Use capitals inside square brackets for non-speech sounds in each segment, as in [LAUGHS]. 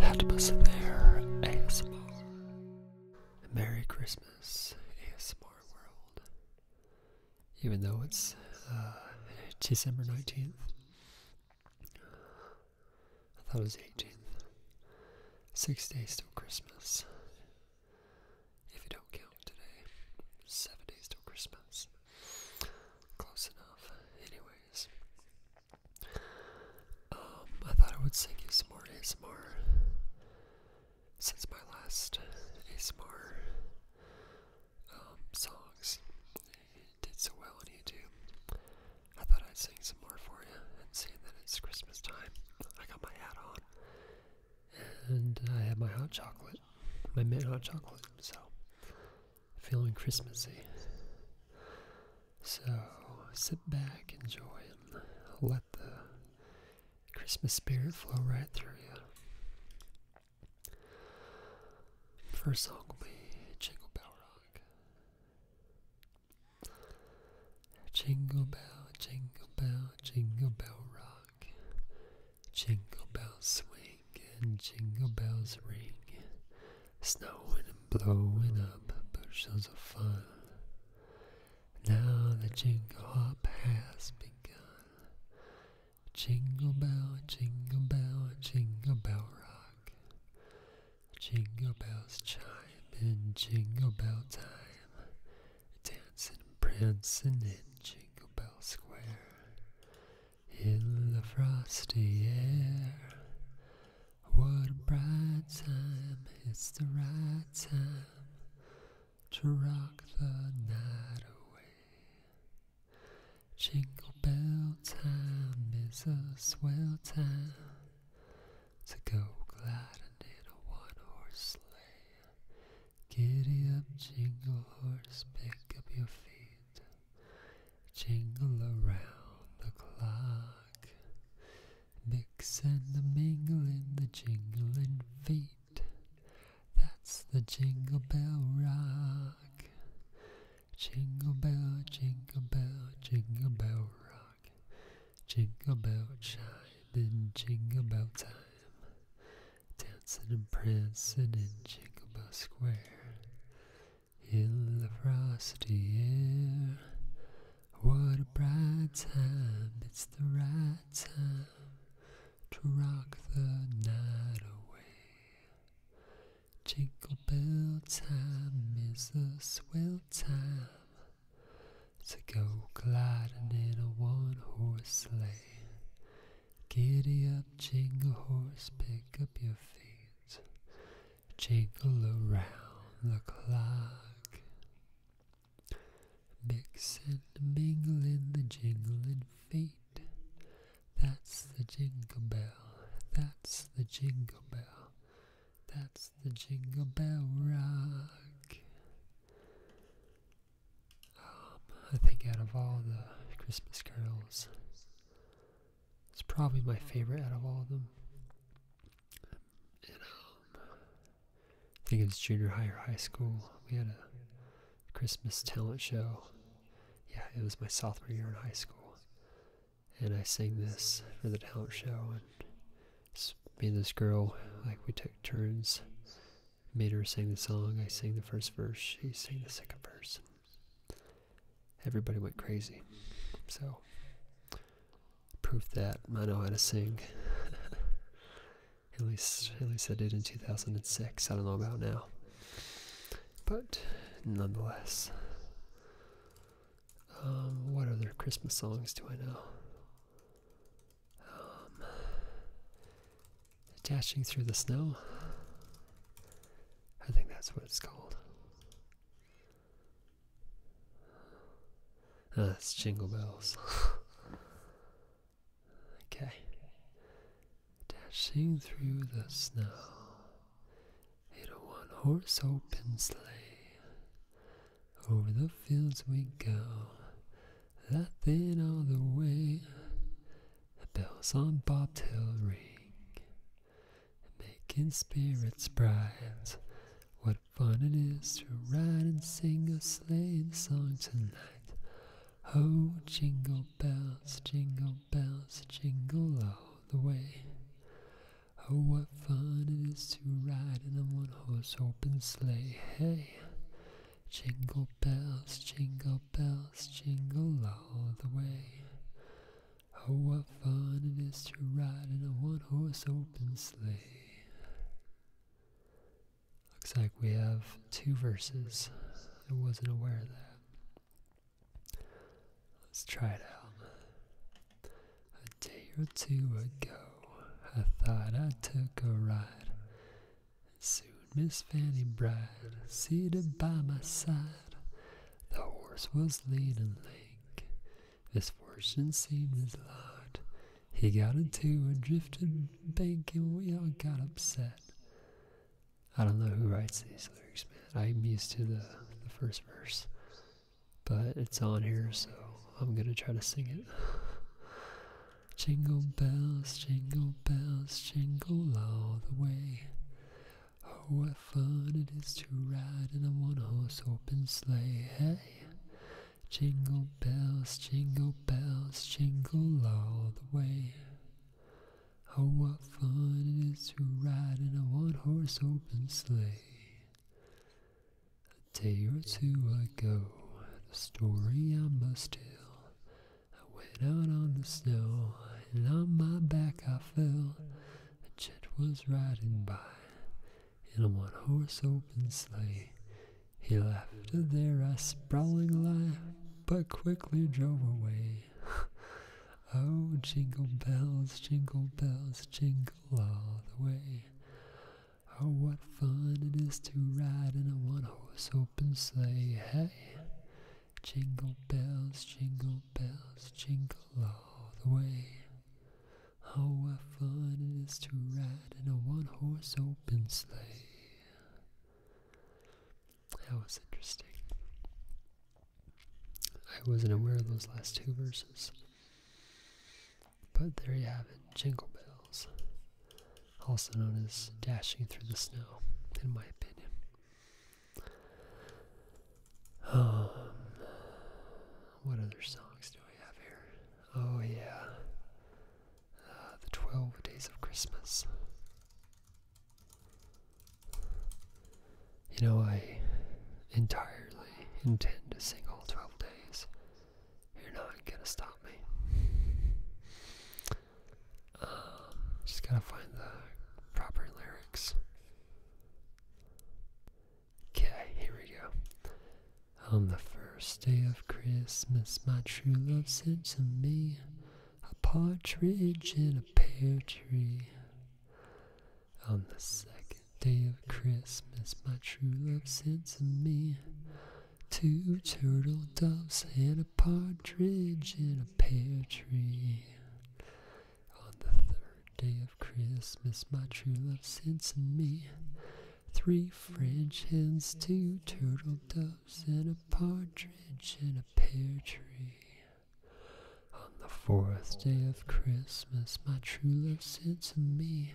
Happy Severe ASMR. Merry Christmas, ASMR world. Even though it's uh, December 19th, I thought it was 18th. Six days till Christmas. If you don't count today, seven days till Christmas. Close enough. Anyways, um, I thought I would sing you some more ASMR since my last ASMR um, songs did so well on YouTube. I thought I'd sing some more for you, and seeing that it's Christmas time, I got my hat on. And I had my hot chocolate, my mint hot chocolate, so feeling Christmassy. So sit back, enjoy, and let the Christmas spirit flow right through you. First song will be Jingle Bell Rock. Jingle Bell, Jingle Bell, Jingle Bell Rock. Jingle Bell Swing and jingle bells ring, snowing and blowing up bushels of fun. Now the jingle hop has begun. Jingle bell, jingle bell, jingle bell rock. Jingle bells chime in jingle bell time, dancing and prancing in Jingle Bell Square. In the frosty air, what a bright time, it's the right time to rock the night away. Jingle bell time is a swell time to go gliding in a one horse sleigh. Giddy up, jingle horse, pick up your feet jingle around the clock. Mix and mingle in the jingling feet. That's the jingle bell rock. Jingle bell, jingle bell, jingle bell rock. Jingle bell chime in jingle bell time. Dancing and prancing in Jingle Bell Square in the frosty air. What a bright time, it's the right time to rock the night away. Jingle bell time is the swell time to go gliding in a one horse sleigh. Giddy up, jingle horse, pick up your feet. Jingle around the clock. Mix and mingle in the jingling feet. That's the jingle bell. That's the jingle bell. That's the jingle bell rock. Um, I think out of all the Christmas carols, it's probably my favorite out of all of them. And um, I think it was junior high or high school. We had a Christmas talent show. Yeah, it was my sophomore year in high school, and I sang this for the talent show. And me and this girl, like we took turns. Made her sing the song. I sang the first verse. She sang the second verse everybody went crazy. So, proof that I know how to sing. [LAUGHS] at least, at least I did in 2006. I don't know about now, but nonetheless. Um, what other Christmas songs do I know? Um, Dashing through the snow. I think that's what it's called. Oh, ah, that's Jingle Bells. [LAUGHS] okay. Dashing through the snow in a one horse open sleigh. Over the fields we go, laughing all the way. The bells on bobtail ring, making spirits bright. What fun it is to ride and sing a sleighing song tonight. Oh, jingle bells, jingle bells, jingle all the way. Oh, what fun it is to ride in a one horse open sleigh. Hey, jingle bells, jingle bells jingle all the way. Oh, what fun it is to ride in a one horse open sleigh. Looks like we have two verses. I wasn't aware of that. Let's try it out. A day or two ago, I thought I took a ride Soon Miss Fanny Bride seated by my side. The horse was lean and lank. Misfortune seemed his lot. He got into a drifted bank and we all got upset. I don't know who writes these lyrics, man. I'm used to the, the first verse. But it's on here, so I'm gonna try to sing it. Jingle bells, jingle bells, jingle all the way. Oh, what fun it is to ride in a one horse open sleigh. Jingle bells, jingle bells, jingle all the way. Oh, what fun it is to ride in a one horse open sleigh. A day or two ago, the story I must tell I went out on the snow, and on my back I fell. A jet was riding by in a one horse open sleigh. He left there a sprawling lie, but quickly drove away. [LAUGHS] oh, jingle bells, jingle bells, jingle all the way. Oh, what fun it is to ride in a one horse open sleigh. Hey! Jingle bells, jingle bells, jingle all the way. How fun it is to ride in a one horse open sleigh. That was interesting. I wasn't aware of those last two verses. But there you have it Jingle Bells also known as dashing through the snow, in my opinion. Um, what other songs do we have here? Oh, yeah. Uh, the 12 Days of Christmas. You know, I entirely intend to sing all 12 days. You're not gonna stop me. Um, just gotta find the proper lyrics. Okay, here we go. On the first day of Christmas, my true love sent to me a partridge in a pear tree. On the second day of Christmas, my true love sent to me Two turtle doves and a partridge in a pear tree. On the third day of Christmas, my true love sent to me three French hens, two turtle doves, and a partridge in a pear tree. On the fourth day of Christmas, my true love sent to me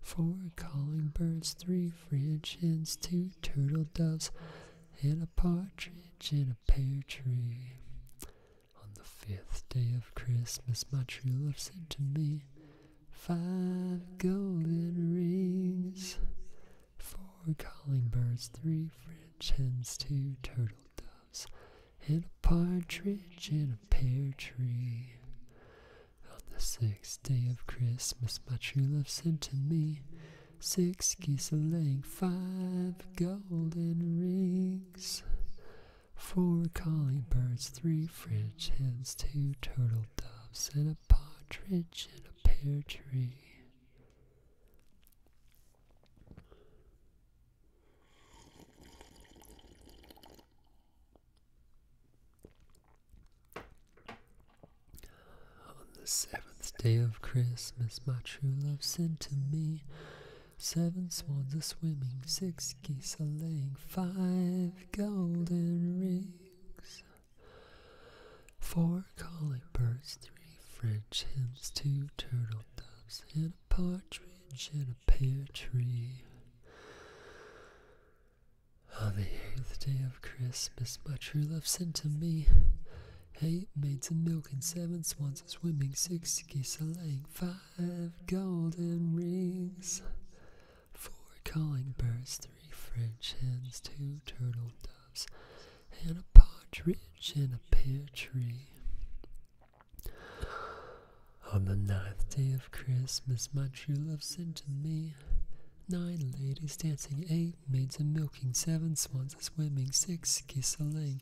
four calling birds, three French hens, two turtle doves and a partridge in a pear tree. On the fifth day of Christmas, my true love sent to me five golden rings, four calling birds, three French hens, two turtle doves, and a partridge in a pear tree. On the sixth day of Christmas, my true love sent to me six geese a laying, five golden rings, four calling birds, three French hens, two turtle doves, and a partridge in a pear tree. On the seventh day of Christmas, my true love sent to me seven swans a swimming, six geese a laying, five golden rings, four calling birds, three French hens, two turtle doves, and a partridge in a pear tree. On the eighth day of Christmas, my true love sent to me eight maids in milk and seven swans a swimming, six geese a laying, five golden rings, four calling birds, three French hens, two turtle doves, and a partridge in a pear tree. On the ninth day of Christmas, my true love sent to me Nine ladies dancing, eight maids a milking, seven swans a swimming, six geese a laying,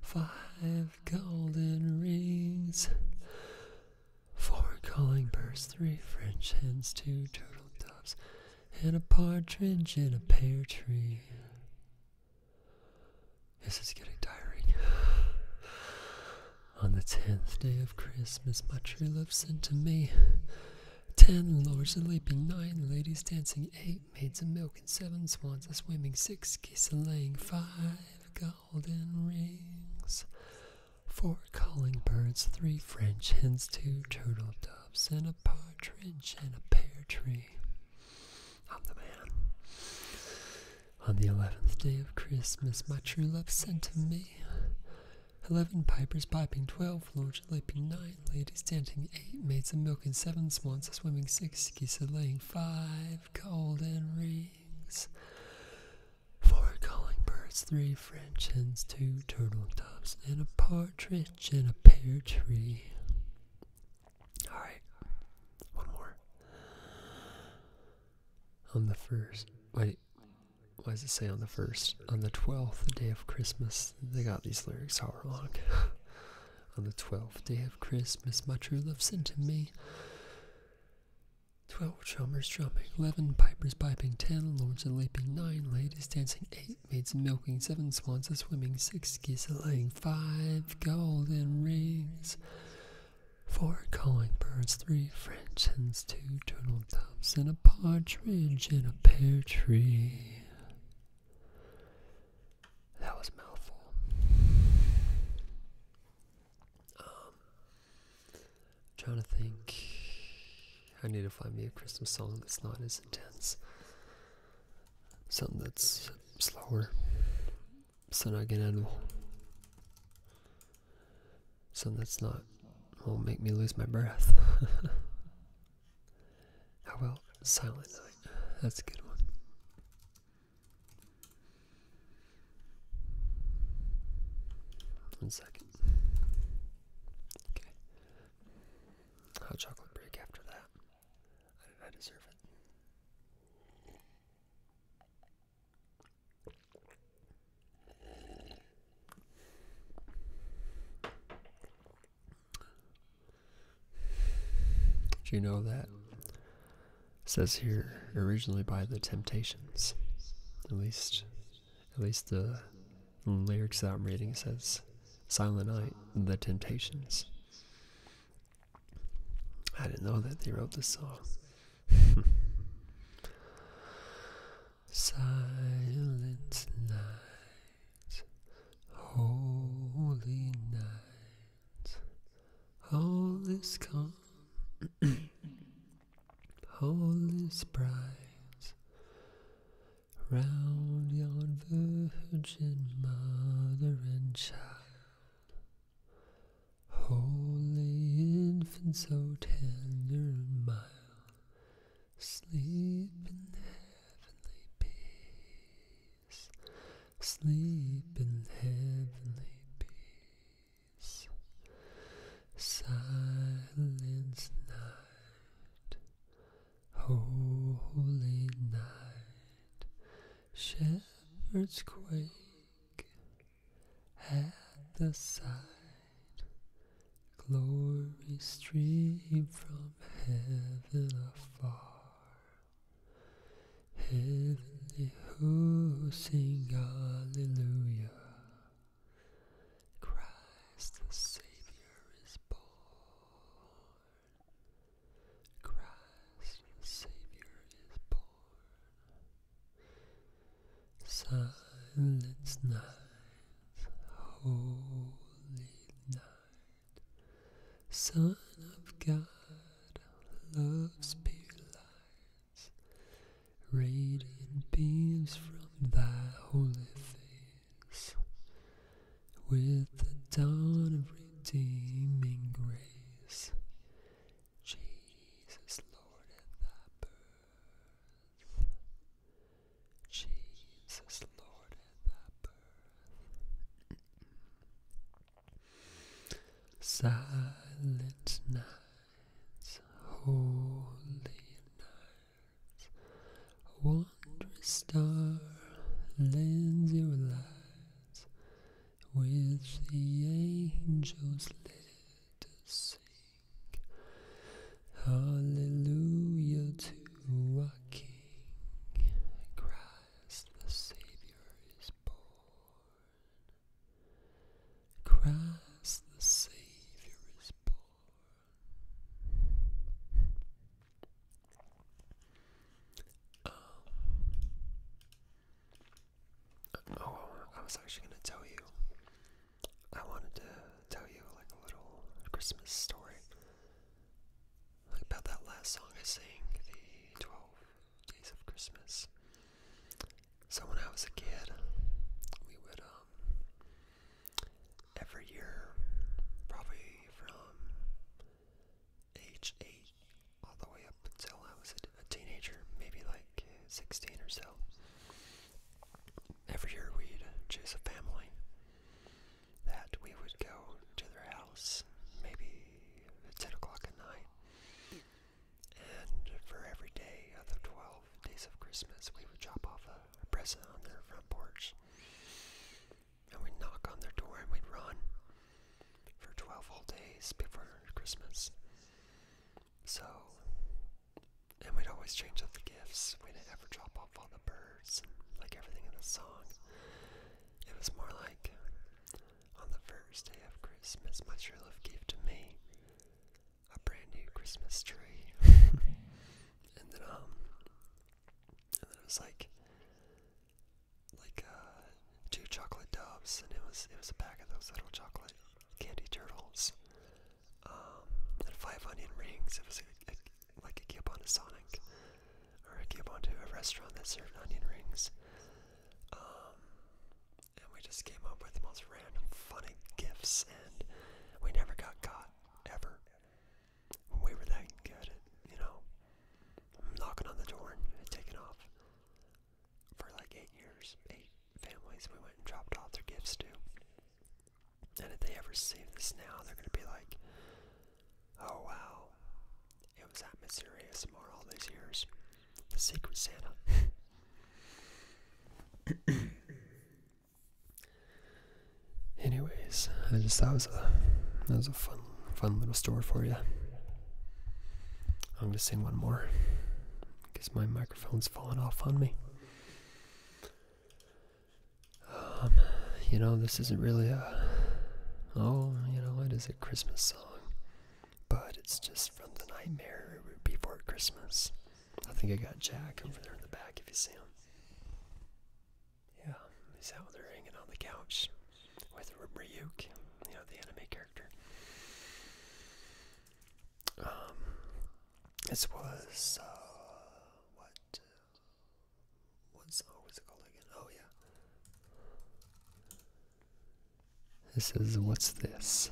five golden rings, four calling birds, three French hens, two turtle doves, and a partridge in a pear tree. This is getting tiring. On the tenth day of Christmas, my true love sent to me ten lords a leaping, nine ladies dancing, eight maids a milking, seven swans a swimming, six geese a laying, five golden rings, four calling birds, three French hens, two turtle doves, and a partridge and a pear tree. I'm the man. On the eleventh day of Christmas, my true love sent to me 11 pipers piping, 12 lords leaping, 9 ladies dancing, 8 maids a milking, 7 swans a swimming, 6 geese a laying, 5 golden rings, 4 calling birds, 3 French hens, 2 turtle doves, and a partridge in a pear tree. Alright, one more. On the first. Wait, why does it say on the first? On the twelfth day of Christmas, they got these lyrics all wrong. [LAUGHS] on the twelfth day of Christmas, my true love sent to me. Twelve drummers drumming, eleven pipers piping, ten lords a leaping, nine ladies dancing, eight maids milking, seven swans a swimming, six geese a laying, five golden rings. Four calling birds, three French hens, two turtle doves, and a partridge in a pear tree. That was mouthful. i um, trying to think. I need to find me a Christmas song that's not as intense. Something that's slower. Son Aguinaldo so that's not will make me lose my breath. [LAUGHS] How about Silent Night? That's a good one. One second. Okay. Hot chocolate break after that. I deserve it. Do you know that? says here originally by the Temptations. At least, at least the lyrics that I'm reading says Silent Night, The Temptations. I didn't know that they wrote the song. [LAUGHS] Silent night, holy night, all is calm, [COUGHS] all is bright, round yon virgin mother and child. Holy infant, so tender and mild, sleep in heavenly peace, sleep in heavenly peace. Silence night, holy night, shepherds quake at the sight. Glory stream from heaven afar. Heavenly who sing hallelujah. Christ the Savior is born. Christ the Savior is born. Silence night, holy night, Son of God, love's pure light, radiant beams from thy holy face, with the dawn of redeeming grace, Jesus, Lord in thy birth. Jesus, Lord at thy birth. Silent nights, holy nights, wondrous star lends your light with the angels let us sing hallelujah to our king christ the savior is born christ the savior is born Oh, I was actually gonna tell you. I wanted to tell you like a little Christmas story. Like about that last song I sang, the 12 Days of Christmas. So when I was a kid, we would um, every year, probably from age eight all the way up until I was a, a teenager, maybe like 16 or so. Every year we'd choose a family that we would go to their house, maybe at 10 o'clock at night. And for every day of the 12 days of Christmas, we would drop off a, a present on their front porch. And we'd knock on their door and we'd run for 12 whole days before Christmas. So, and we'd always change up the gifts. We would not ever drop off all the birds and like everything in the song. It was more like on the first day of Christmas, my true love gave to me a brand new Christmas tree. [LAUGHS] and then, um, and then it was like, like uh, two chocolate doves, and it was it was a pack of those little chocolate candy turtles, um, and five onion rings. It was a, a, like a to Sonic, or a coupon to a restaurant that served onion rings. Um, and we just came up with the most random, funny gifts, and we never got caught ever. We were that good you know, knocking on the door and taking off for like eight years, eight families we went and dropped off their gifts too. And if they ever see this now, they're going to be like, oh wow, it was that mysterious, more all these years. The Secret Santa. [COUGHS] Anyways, I just that was a that was a fun fun little story for you. I'm going to sing one more because my microphone's falling off on me. Um, you know, this isn't really a. Oh, you know, it is a Christmas song, but it's just from the Nightmare Before Christmas. I think I got Jack over there in the back if you see him. Yeah, he's out there hanging on the couch with Ryuk, you know, the anime character. Um, this was, uh, what, uh, what's, oh, it called again? Oh, yeah. This is What's This?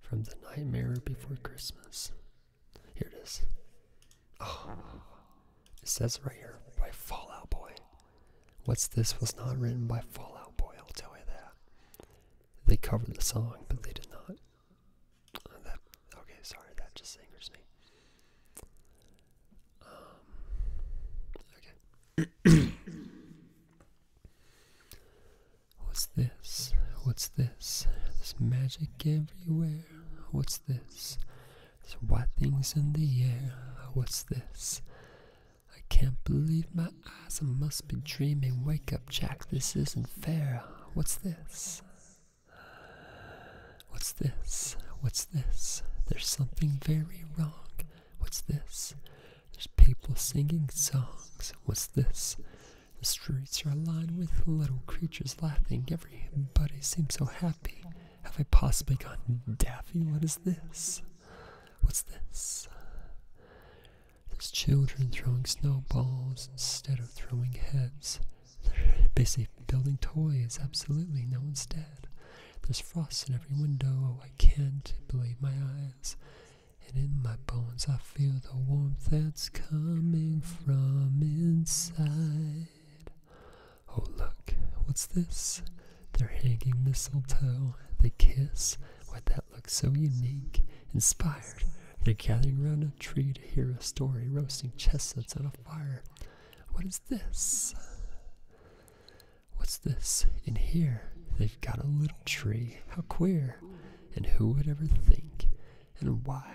From The Nightmare Before Christmas. Here it is. Oh, it says right here by Fallout Boy. What's this was not written by Fallout Boy, I'll tell you that. They covered the song, but they did not. Uh, that, okay, sorry, that just angers me. Um, okay. [COUGHS] What's this? What's this? This magic everywhere. What's this? There's white things in the air. What's this? I can't believe my eyes. I must be dreaming. Wake up, Jack. This isn't fair. What's this? What's this? What's this? There's something very wrong. What's this? There's people singing songs. What's this? The streets are lined with little creatures laughing. Everybody seems so happy. Have I possibly gone daffy? What is this? What's this? There's children throwing snowballs instead of throwing heads. They're basically building toys, absolutely, no one's dead. There's frost in every window, Oh, I can't believe my eyes. And in my bones I feel the warmth that's coming from inside. Oh, look, what's this? They're hanging mistletoe. They kiss. What that looks so unique. Inspired. They're gathering around a tree to hear a story, roasting chestnuts on a fire. What is this? What's this? In here, they've got a little tree. How queer. And who would ever think? And why?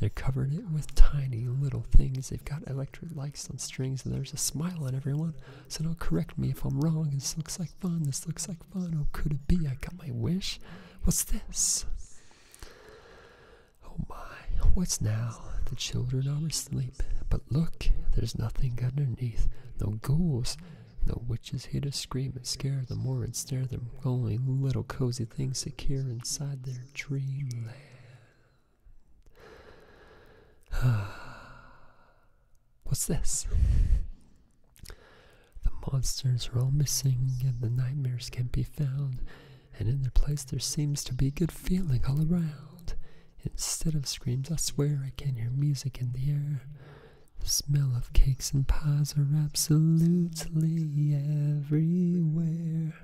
They're covering it with tiny little things. They've got electric. 100 likes on strings and there's a smile on everyone. So don't correct me if I'm wrong. This looks like fun. This looks like fun. Oh, could it be? I got my wish. What's this? Oh my, what's now? The children are asleep. But look, there's nothing underneath. No ghouls, no witches here to scream and scare the or and snare them. Only little cozy things secure inside their dreamland. [SIGHS] What's this? The monsters are all missing, and the nightmares can't be found, and in their place there seems to be good feeling all around. Instead of screams, I swear I can hear music in the air. The smell of cakes and pies are absolutely everywhere.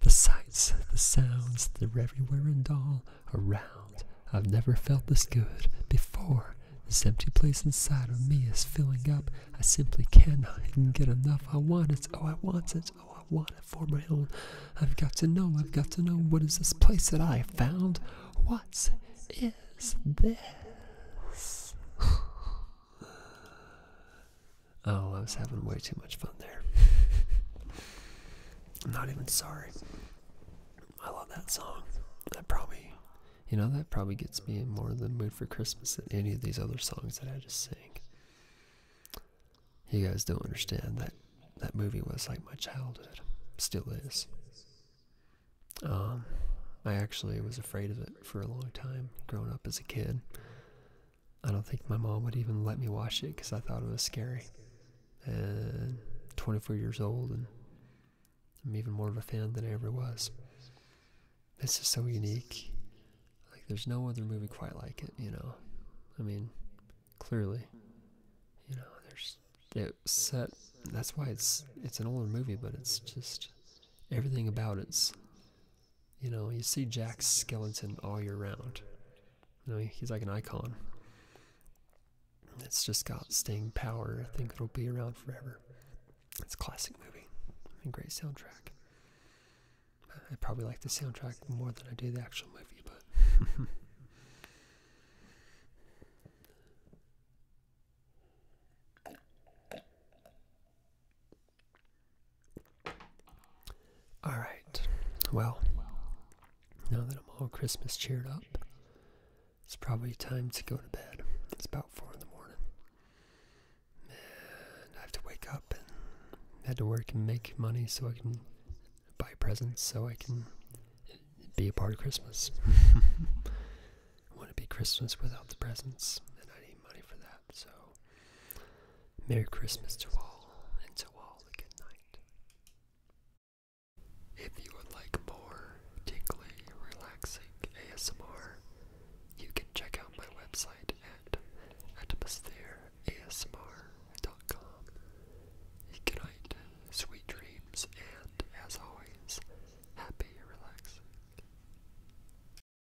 The sights, the sounds, they're everywhere and all around. I've never felt this good before. This empty place inside of me is filling up. I simply cannot even get enough. I want it. Oh, I want it. Oh, I want it for my own. I've got to know. I've got to know. What is this place that I found? What is this? [SIGHS] [SIGHS] [SIGHS] Oh, I was having way too much fun there. I'm [LAUGHS] not even sorry. I love that song. That probably, you know, that probably gets me more of the mood for Christmas than any of these other songs that I just sang. You guys don't understand that that movie was like my childhood, still is. Um, I actually was afraid of it for a long time growing up as a kid. I don't think my mom would even let me watch it because I thought it was scary. And 24 years old, and I'm even more of a fan than I ever was. This is so unique. Like, there's no other movie quite like it, you know? I mean, clearly, you know, there's it set. That's why it's it's an older movie, but it's just everything about it's you know, you see Jack's skeleton all year round. You know, he's like an icon. It's just got staying power. I think it'll be around forever. It's a classic movie and great soundtrack. I probably like the soundtrack more than I do the actual movie, but. [LAUGHS] All right. Well, now that I'm all Christmas cheered up, it's probably time to go to bed. It's about four in the morning. And I have to wake up and have to work and make money so I can buy presents so I can be a part of Christmas. [LAUGHS] I want to be Christmas without the presents, and I need money for that. So Merry Christmas to all, and to all a good night. If you would like more tingly, relaxing ASMR, you can check out my website at atmosphereasmr.com. Good night, sweet dreams, and as always, happy relaxing.